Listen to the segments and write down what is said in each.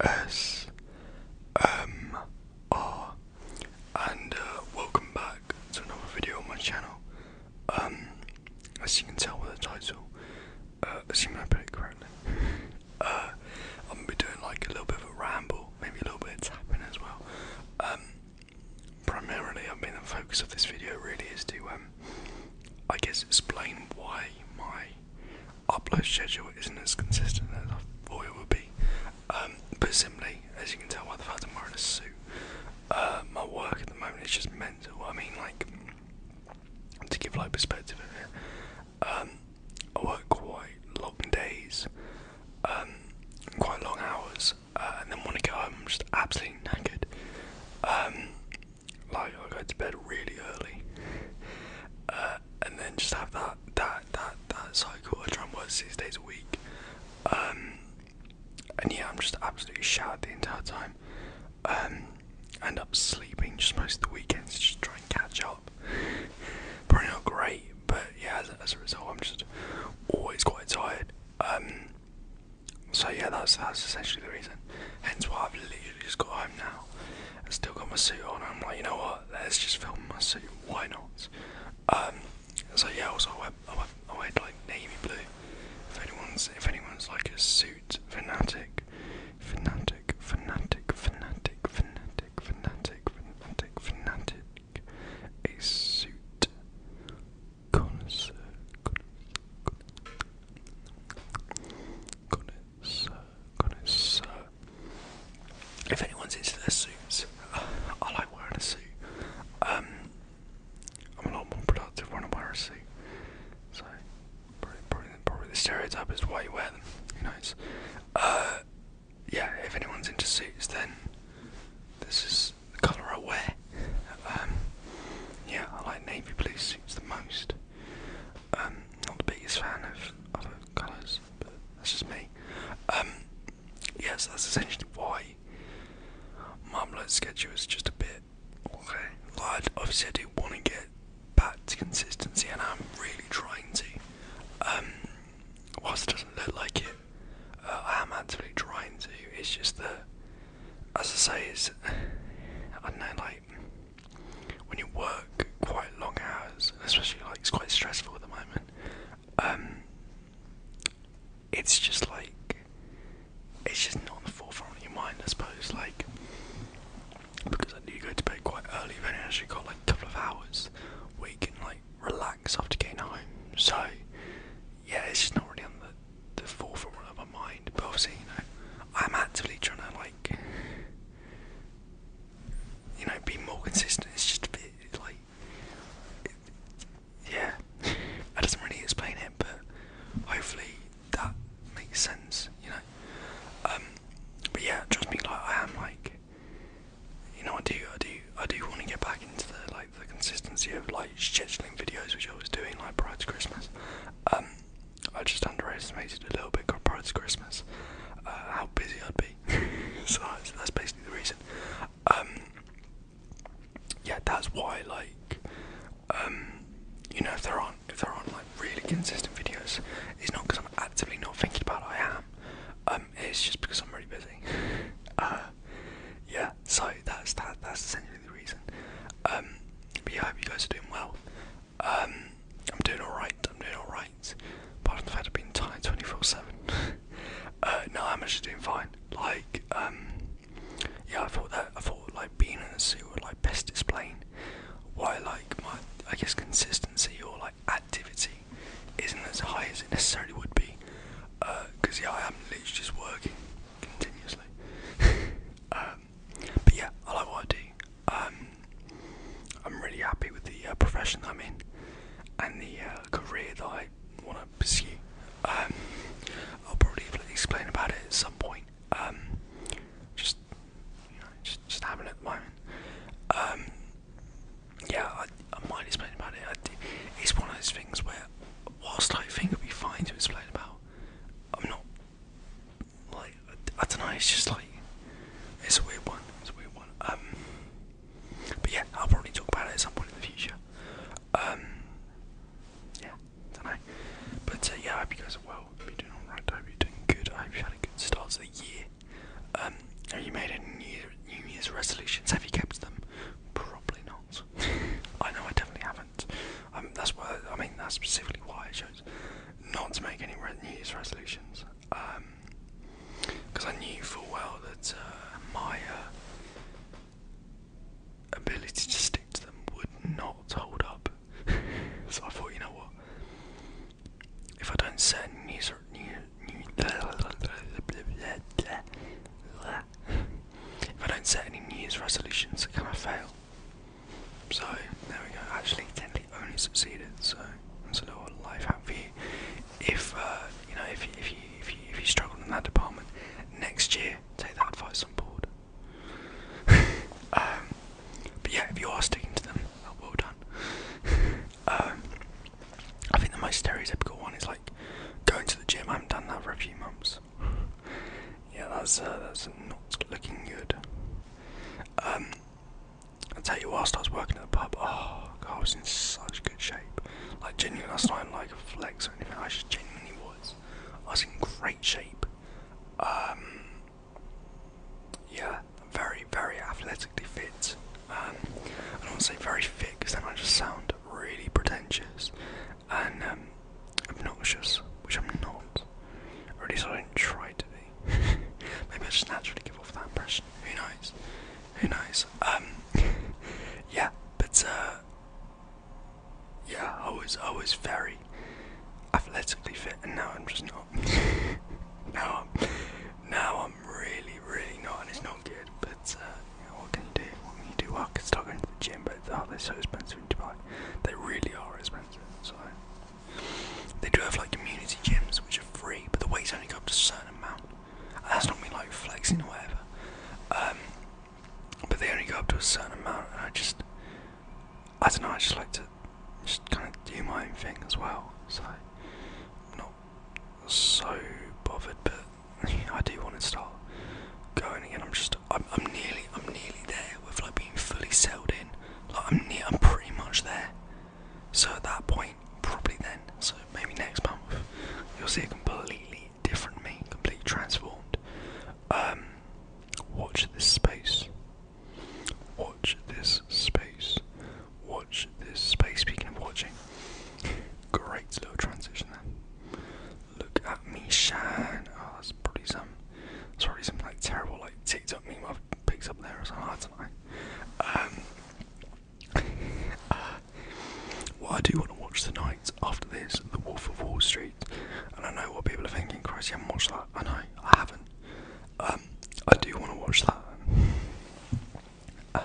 ASMR, and uh, welcome back to another video on my channel. Um, as you can tell with the title, uh, assuming I put it correctly, uh, I'm gonna be doing like a little bit of a ramble, maybe a little bit of tapping as well. Um, primarily, I mean, the focus of this video really is to, um, I guess, explain why my upload schedule isn't as consistent as I thought it would be. Um, but simply, as you can tell by the fact I'm wearing a suit, uh, my work at the moment is just mental. I mean, like, to give like perspective of it, um, I work quite long days, um, quite long hours, uh, and then want to go home, I'm just absolutely knackered like i go to bed really early, uh, and then just have that that that that cycle. of try work six days a week, um, and yeah, I'm just absolutely shattered the entire time. Um, I end up sleeping just most of the weekends just to try and catch up. Probably not great, but yeah, as, a result, I'm just always quite tired. Um, so yeah, that's that's essentially the reason. Hence why I've literally just got home now. I still got my suit on. I'm like, you know what? Let's just film my suit. Why not? Um, so yeah. Also, I wear, I wear, I wear like navy blue. If anyone's, if anyone's like a suit fanatic, fanatic, fanatic, fanatic, fanatic, fanatic, fanatic, fanatic, a suit connoisseur connoisseur, connoisseur. If anyone's into their suits, I like wearing a suit. Um, I'm a lot more productive when I am wear a suit. So, probably, probably, probably the stereotype is why you wear them. Who knows? Uh, yeah, if anyone's into suits, then this is the colour I wear. Um, yeah, I like navy blue suits the most. Um, not the biggest fan of other colours, but that's just me. Um, yes, that's essentially why Marmalade schedule is just a bit I've said I do want to get back to consistency, and I'm really trying to. Um, whilst it doesn't look like it, uh, I am actively trying to. It's just that, as I say, it's I don't know, like when you work quite long hours, especially like it's quite stressful at the moment. Um, it's just like it's just not in the forefront of your mind, I suppose. Like because I do go to bed quite early, i actually got like a couple of hours where you can like relax after getting home. So yeah, it's just not really on the the forefront of my mind. But obviously, you know, I'm actively trying to like, you know, be more consistent. It's just a bit like, yeah, that doesn't really explain it, but hopefully that makes sense. You know, um, but yeah, trust me, like I am like, you know, I do, I do, I do want to get back into the like the consistency of like scheduling videos, which I was doing like prior to Christmas. Um, I just underestimated a little bit prior to Christmas uh, how busy I'd be. so that's, basically the reason. Um, yeah, that's why like um, you know if there aren't if there aren't like really consistent videos, it's not because I'm actively not thinking about it. I am. Um, it's just because I'm really busy. Uh, yeah, so that's that. That's essentially the reason. Um, but I hope you guys are doing well. Um, I'm doing all right. I'm doing all right. Apart from the fact i been tired 24/7. Uh, no, I'm actually doing fine. Like, um, yeah, I thought that I thought like being in the suit would like best explain why like my I guess consistency or like activity isn't as high as it necessarily would be. Because uh, yeah, I am literally just working continuously. Um, but yeah, I like what do. Um, I'm really happy with the uh, profession I'm in and the uh, career that I want to pursue. Um, I'll probably explain about it at some point. just, you know, just, just having it at the moment. yeah, I, might explain about it. it's one of those things where, whilst I think it'd be fine to explain about, I'm not like I, don't know. It's just like it's a weird one. It's a weird one. Um, but yeah, I'll probably talk about it at some point in the future. Um, yeah, don't know. But uh, yeah, I hope you guys are well. I hope you're doing alright. you're doing good. I hope you had a good start to the year. Um, have you made any New Year's resolutions? Have you kept them? Probably not. I know I definitely haven't. Um, that's why. I mean, that's specifically why I chose not to make any New Year's resolutions. Because um, I knew full well that uh, my uh, ability to stick to them would not hold up. so I thought, you know what? If I don't set new, new, resolutions. If I don't set any New Year's resolutions, can I fail? So, there we go. Actually, technically only succeeded, so that's a little life hack for you. If, uh, you know, if, if, you, if, you, if you struggle in that department, next year, take that advice on board. Um, but yeah, if you are sticking to them, oh, well done. Um, I think the most stereotypical one is like going to the gym. I haven't done that for a few months yeah, that's uh, that's not looking good. Um, I tell you, whilst I was working at the pub, oh, I was in such good shape. Like genuinely, that's not like a flex or anything. I just genuinely was. I was in great shape. Um, yeah, very, very athletically fit. Um, I don't want to say very fit because then I just sound really pretentious and obnoxious, um, which I'm not, or at least I don't try to be. Maybe I just naturally give off that impression. Who knows? Who knows? Um, yeah, but uh, yeah, I was I was very athletically fit, and now I'm just not. now I'm now I'm really really not, and it's not good. But uh, yeah, what can you do? What can you do? I could start going to the gym, but oh, they're so expensive in Dubai. They really are expensive. So they do have like community gyms which are free, but the weights only go up to a certain amount. that's not me like flexing or whatever. Um, but they only go up to a certain amount, and I just, I don't know. I just like to just kind of do my own thing as well. So not so bothered, but I do want to start going again. I'm just, I'm, I'm nearly, I'm nearly there with like being fully settled in. Like I'm near, I'm pretty much there. So at that point, probably then, so maybe next month, you'll see a completely different me, completely transformed. Um, watch this space. Watch this space. Watch this space. Speaking of watching, Great little transition there. Look at me shine. Oh, that's probably some, that's probably some like terrible like TikTok meme I've picked up there as I um, uh, do tonight. what I do want to watch tonight after this, The Wolf of Wall Street, and I know what people are thinking. Christ, I'm not that. I know, I haven't. Um, I do want to watch that. Um,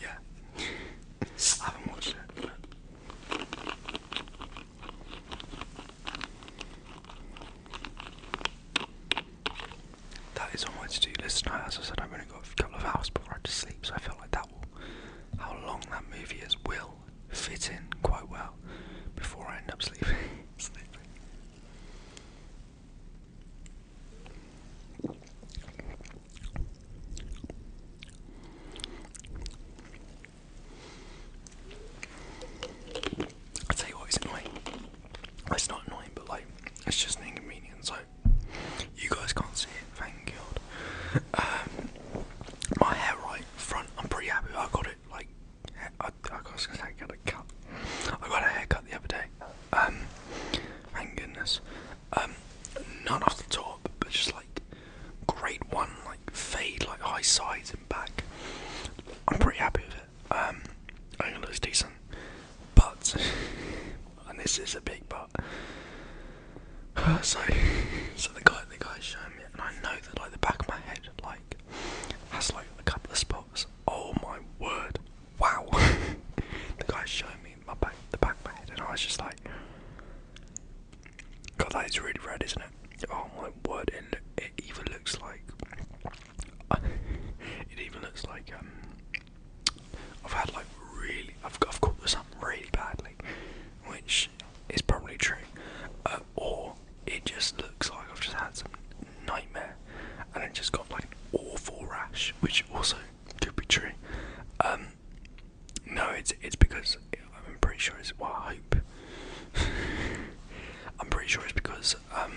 yeah, I haven't watched it. But... That is on my to-do list tonight. As I said, I've only got a couple of hours before I have to sleep, so I feel like that will, how long that movie is, will fit in quite well before I end up sleeping. I tell you what, it's annoying. It's not annoying, but like, it's just an inconvenience. Like, you guys can't see it, thank God. Um, my hair right front, I'm pretty happy. I got it. Like, I, I, I was gonna say, I got a cut. I got a haircut the other day. Um, thank goodness. Um, not off the top, but just like great one, like fade, like high sides and back. I'm pretty happy with it. Um, I think it looks decent, but and this is a big but. so, so the guy, the guy showing me, and I know that like the back of my head, like has like a couple of spots. Oh my word! wow. the guy showing me my back, the back of my head, and I was just like, God, that is really red, isn't it? Oh my word! And it even looks like it even looks like um, I've had like really, I've got, caught this up really badly, which is probably true, uh, or it just looks like I've just had some nightmare, and it just got like awful rash, which also could be true. Um, no, it's it's because I'm pretty sure it's well, I hope. I'm pretty sure it's because um,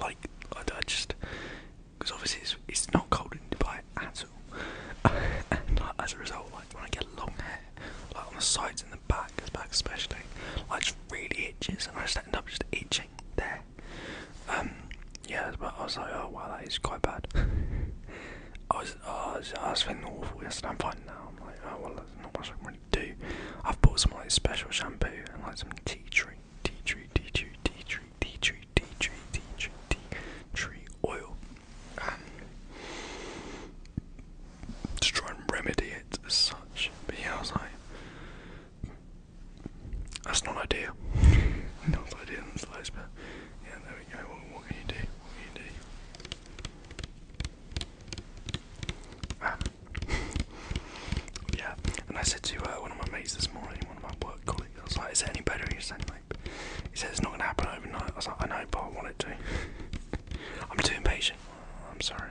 like I, just because obviously it's, not cold in Dubai at all, and like, as a result, like when I get long hair, like on the sides and the back, back especially, like just really itches, and I just end up just itching there okay. Um, yeah, but I was like, oh wow, that is quite bad. I was, oh, I was, I was feeling awful yesterday. I'm fine now. I'm like, oh well, there's not much I can really do. I've bought some like special shampoo and like some tea tree, tea tree, tea tree, tea tree, tea tree, tea tree, tea tree, tea tree oil, um, to try and remedy it as such. But yeah, I was like. That's not ideal. not ideal in the but yeah, there we go. What, can you do? What can you do? Um, yeah, and I said to uh, one of my mates this morning, one of my work colleagues, I was like, "Is it any better?" He said, "Like, he said it's not gonna happen overnight." I was like, "I know, but I want it to." I'm too impatient. I'm sorry.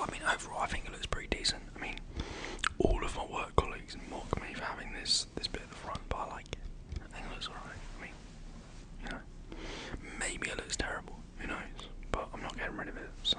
I mean, overall, I think it looks pretty decent. I mean, all of my work colleagues mock me for having this this bit at the front, but I like it. I think it looks alright. I mean, you know, maybe it looks terrible. Who knows? But I'm not getting rid of it, so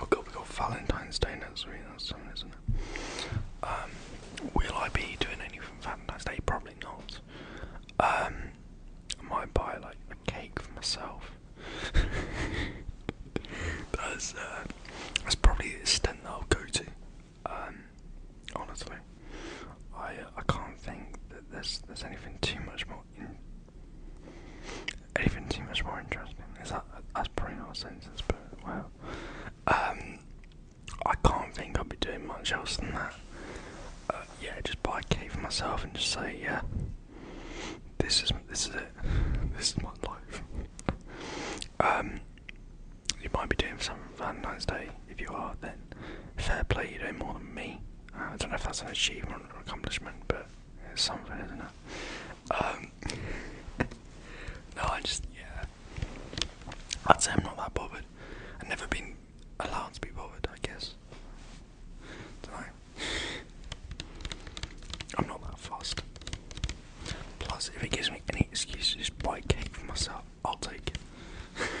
Oh god, we got Valentine's Day next week. That's something, isn't it? Um, will I be doing anything for Valentine's Day? Probably not. Um, I might buy like a cake for myself. Uh, that's probably the extent that I'll go to. Um, honestly, I I can't think that there's there's anything too much more. anything too much more interesting. Is that that's probably not but wow. Um, I can't think I'll be doing much else than that. Uh, yeah, just buy a cake for myself and just say, yeah, this is this is it. This is my life. Um, you might be doing something for Valentine's Day. If you are, then fair play. You're doing more than me. Uh, I don't know if that's an achievement or accomplishment, but it's something, isn't it? Um, no, I just yeah. I'd say I'm not that bothered. I've never been allowed to be bothered, I guess. Don't know. I'm not that fast. Plus, if it gives me any excuse to just buy cake for myself, I'll take it.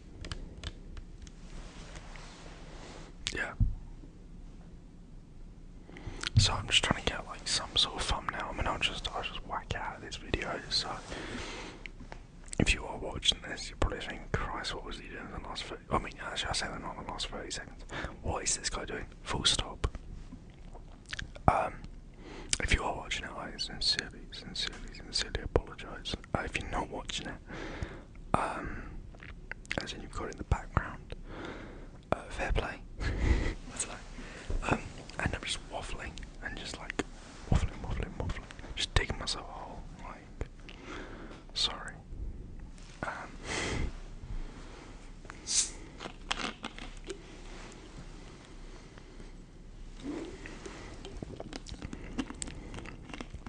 Yeah. So I'm just trying to get like some sort of thumbnail. and I'll just I'll just whack out of this video. So if you are watching this, you're probably thinking, "Christ, what was he doing in the last?" 30? I mean, actually, I say the last thirty seconds. What is this guy doing? Full stop. Um, if you are watching it, I sincerely, sincerely, sincerely apologise. Uh, if you're not watching it, um, as in you've got it in the background. Uh, fair play. What's that? Um, and I'm just waffling and just like waffling, waffling, waffling. Just digging myself a hole. Like, sorry. Um,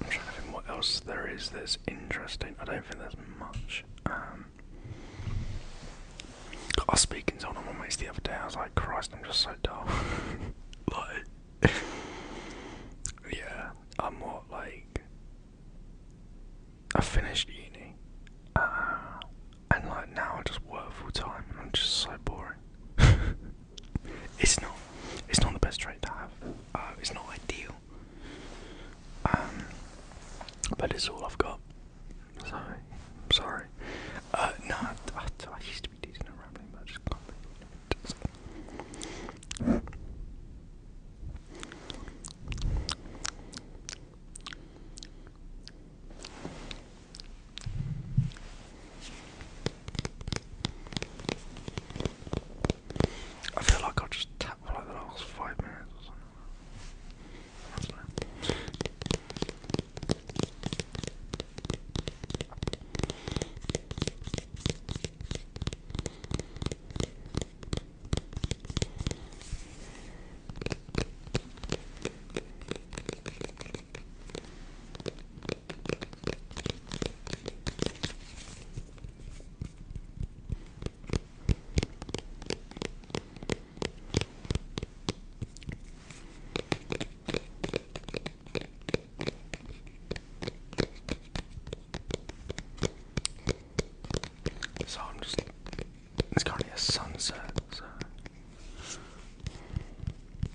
I'm trying to think what else there is that's interesting. I don't think there's much. Um, I was speaking to one my mates the other day. I was like, Christ, I'm just so dull. like, yeah, I'm more like I finished uni, uh, and like now I just work full time, and I'm just so boring. It's not. It's not the best trait to have. Uh, it's not ideal. Um, but it's all I've got. Sorry. Sorry. Uh, no, I, I, used to be decent at rambling, but just I feel like I'll just tap for like the last five minutes or something. So I'm just it's currently a sunset,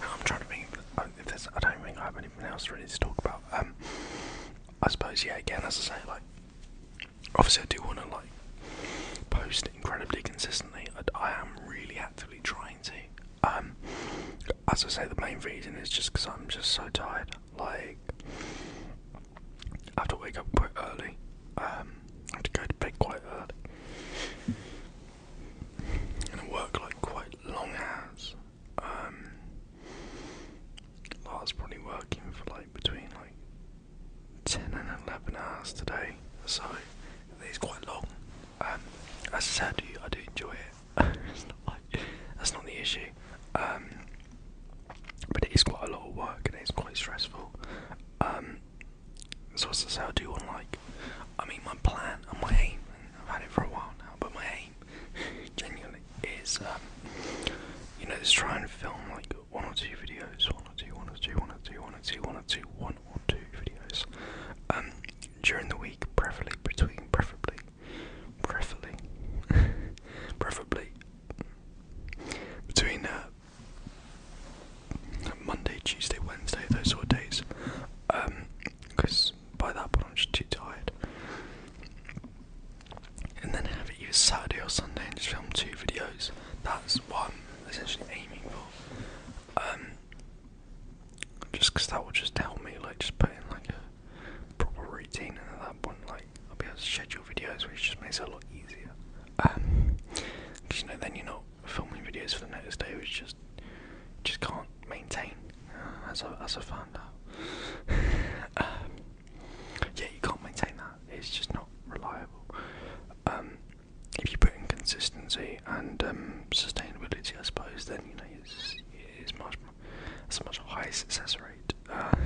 I'm trying to think oh, if there's, I don't think I have anything else really to talk about. Um, I suppose, yeah, again, as I say, like, obviously, I do want to, like, post incredibly consistently. I, I am really actively trying to. Um, as I say, the main reason is just because I'm just so tired. Like, I have to wake up quite early. Um, I have to go to bed quite early. And I work like quite long hours. Um, I was probably working for like between like 10 and 11 hours today. So, it's quite long. Um, as I said, I do enjoy it that's not the issue. Um, but it is quite a lot of work and it's quite stressful. Um, so as I say, I do want like, I mean, my plan and my aim. And I've had it for a while now, but my aim, genuinely, is um, you know, just try and film like one or two videos, one or two, one or two, one or two, one or two, one or two, one or two videos um, during the week, preferably between, preferably preferably, preferably between uh, Monday, Tuesday, Wednesday, those sort of days, because um, by that point I'm just too tired. And then have it either Saturday or Sunday and just film two videos. That's what I'm essentially aiming for. Um, just because that will just help me, like, just put in like proper routine and that point like I'll be able to schedule videos which just makes it a lot easier. because um, you know then you're not filming videos for the next day which just just can't maintain uh, as I as I found out. Um, yeah you can't maintain that. It's just not reliable. Um, if you put in consistency and sustainability I suppose then you know it's it's much it's a much higher success rate. Of uh,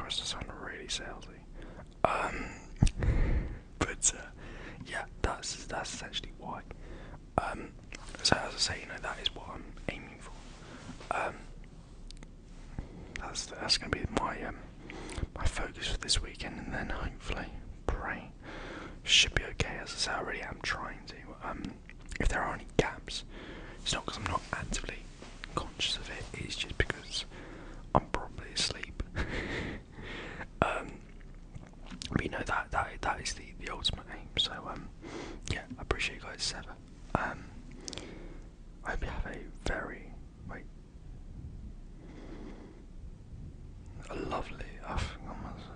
course, the sound really salesy. Um, but uh, yeah, that's that's essentially why. Um, so as I say, you know, that is what I'm aiming for. Um, that's that's going to be my my focus for this weekend, and then hopefully pray should be okay. As I say, I really am trying to if there are any gaps, it's not because I'm not actively conscious of it, it's just because I'm probably asleep. um, you know that that that is the the ultimate aim. So um, yeah, I appreciate you guys as ever. Um, I hope you have a very wait, a lovely. I've,